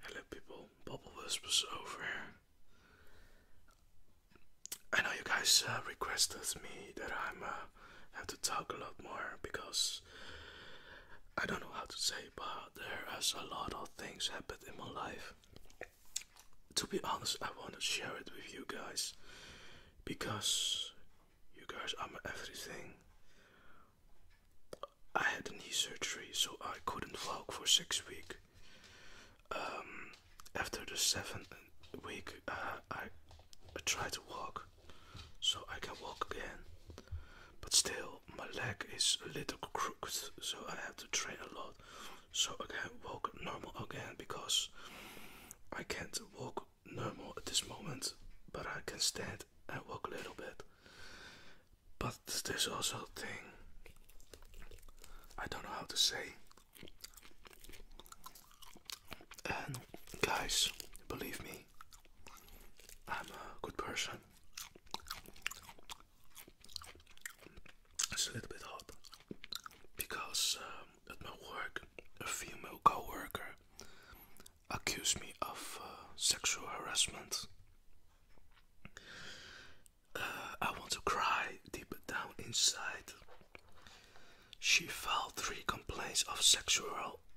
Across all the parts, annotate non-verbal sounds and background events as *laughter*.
Hello people, Bubble Wisp was over. I know you guys uh, requested me that I'm uh, have to talk a lot more because I don't know how to say, but there has a lot of things happened in my life. To be honest, I want to share it with you guys because you guys are my everything. I had knee surgery, so I couldn't walk for six weeks. Um, after the seventh week, uh, I, I tried to walk, so I can walk again. But still, my leg is a little crooked, so I have to train a lot, so I can walk normal again because I can't walk no more at this moment, but I can stand and walk a little bit. But there's also a thing I don't know how to say. And guys, believe me, I'm a good person. It's a little bit hot because. Uh, at my work, a female coworker accused me of uh, sexual harassment. Uh, I want to cry deep down inside. She filed three complaints of sexual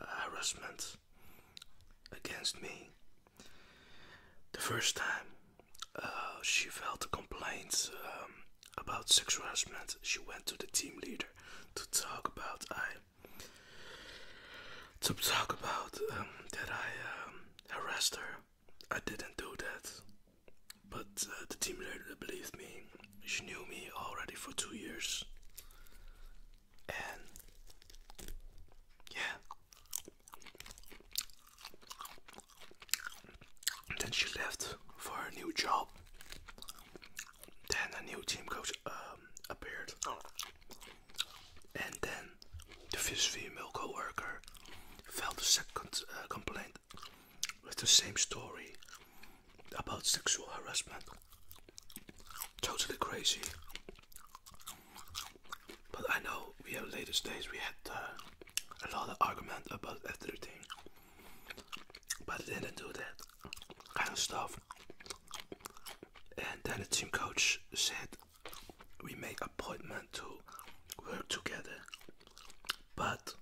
harassment against me. The first time uh, she filed a complaint um, about sexual harassment, she went to the team leader to talk about I to talk about um, that I um, harassed her. I didn't do that, but uh, the team leader believed me. She knew me already for two years, and yeah, and then she left for a new job. Then a new team coach um, appeared. And then the first female coworker filed a second uh, complaint with the same story about sexual harassment. Totally crazy. But I know we have later days we had uh, a lot of argument about everything. But didn't do that kind of stuff. And then the team coach said we make appointment to work together. But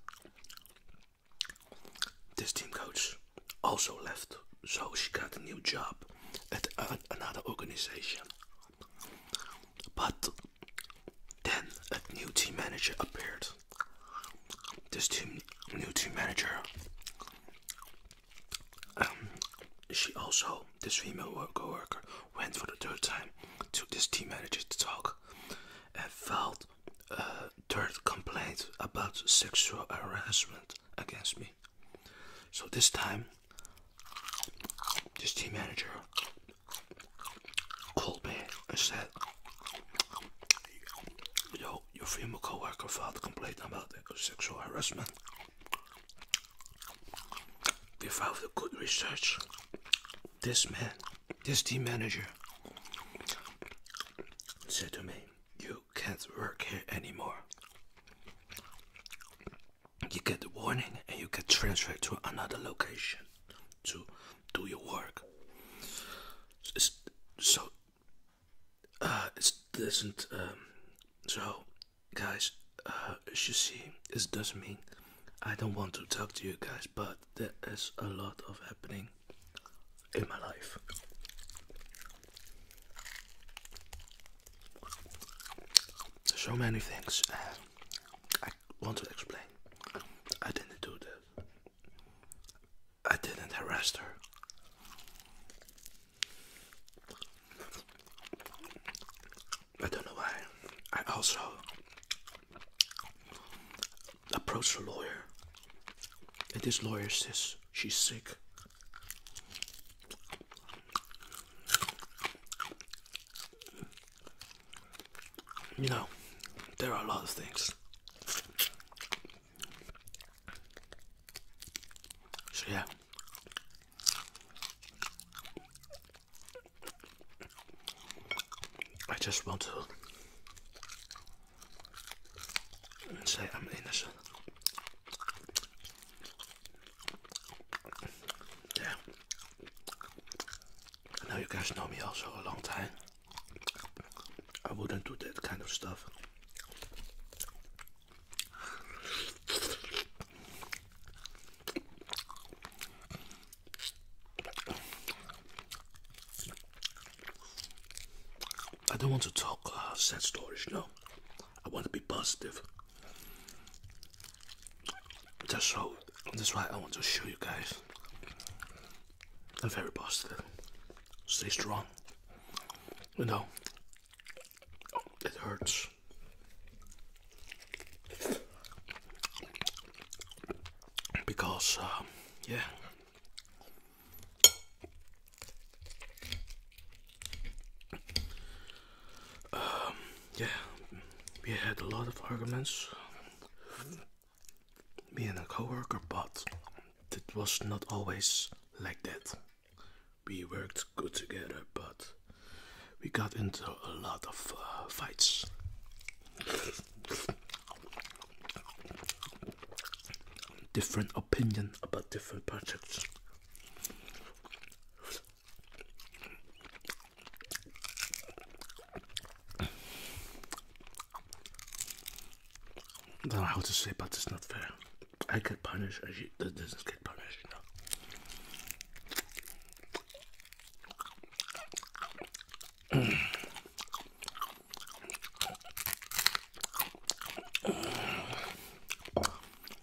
this team coach also left, so she got a new job at another organization. But then a new team manager appeared. This team, new team manager, um, she also, this female worker, went for the third time to this team manager to talk and filed a third complaint about sexual harassment against me. So this time, this team manager called me and said, Yo, your female coworker filed a complaint about sexual harassment. Without the good research, this man, this team manager, said to me, You can't work here anymore. You get the warning and you get transferred to another location to do your work. It's, so uh, it doesn't. Um, so, guys, uh, as you see, it doesn't mean I don't want to talk to you guys, but there is a lot of happening in my life. So many things want to explain. I didn't do this. I didn't harass her. I don't know why. I also approached a lawyer. And this lawyer says she's sick. You know, there are a lot of things. So, yeah. I just want to say I'm innocent. Yeah. know you guys know me also a long time. I wouldn't do that kind of stuff. I don't want to talk uh, sad stories, no. I want to be positive. That's so that's why I want to show you guys. I'm very positive. Stay strong. No, it hurts. Because, uh, yeah. Um, yeah, we had a lot of arguments. Me and a coworker, but it was not always like that. We worked good together, but we got into a lot of uh, fights. *laughs* Different opinion about different projects. I don't know how to say, but it's not fair. I get punished, and she not get punished. You know?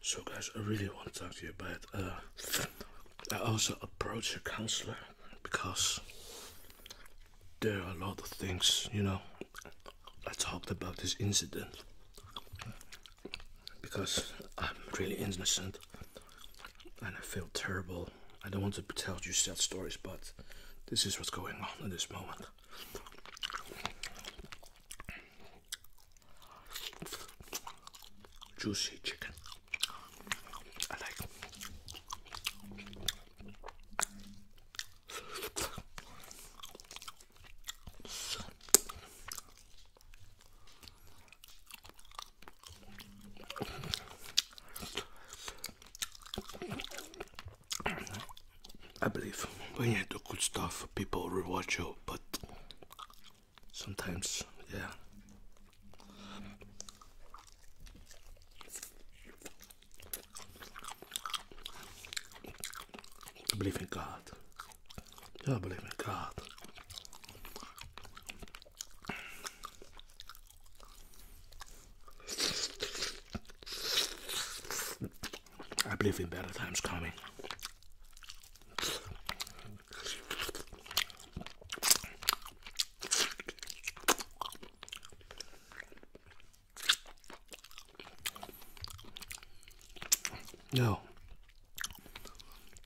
So, guys, I really want to talk to you about uh, I also approached a counselor because there are a lot of things, you know. I talked about this incident because I'm really innocent and I feel terrible. I don't want to tell you sad stories, but this is what's going on at this moment. Juicy chicken. I like. I believe when you do good stuff, people reward you, but sometimes, yeah. I believe in God. Yeah, I believe in God. I believe in better times coming. No.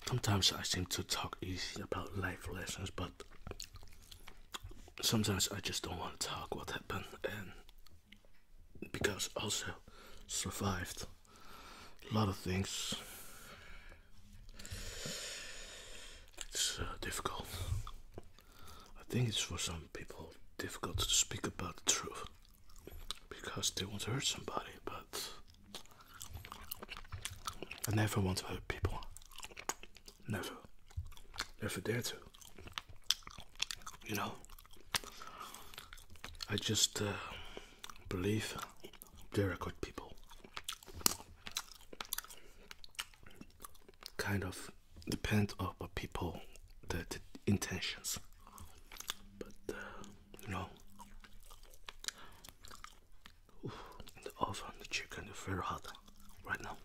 Sometimes I seem to talk easy about life lessons, but sometimes I just don't want to talk what happened and because also survived a lot of things. It's uh, difficult. I think it's for some people difficult to speak about the truth because they want to hurt somebody, but I never want to hurt people. Never. Never dare to. You know? I just uh, believe there are good people. Kind of depend on the people, the, intentions. But uh, you know, the oven, the chicken very hot right now.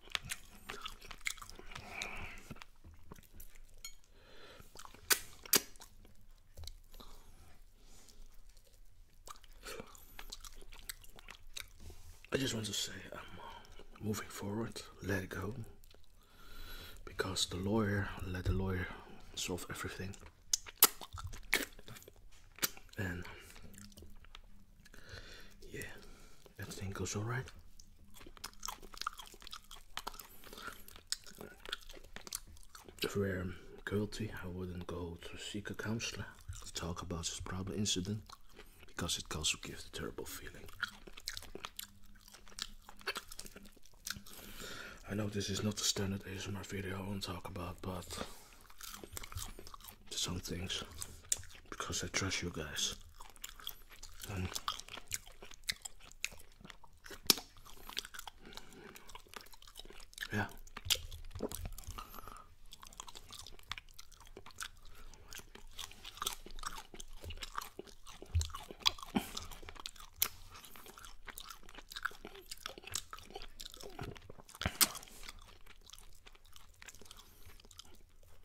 I just want to say I'm uh, moving forward, let it go. Because the lawyer let the lawyer solve everything. And yeah, that thing goes all right. If we were guilty, I wouldn't go to seek a counselor to talk about this problem incident because it also gives a terrible feeling. I know this is not the standard ASMR video I want to talk about, but to some things because I trust you guys. yeah.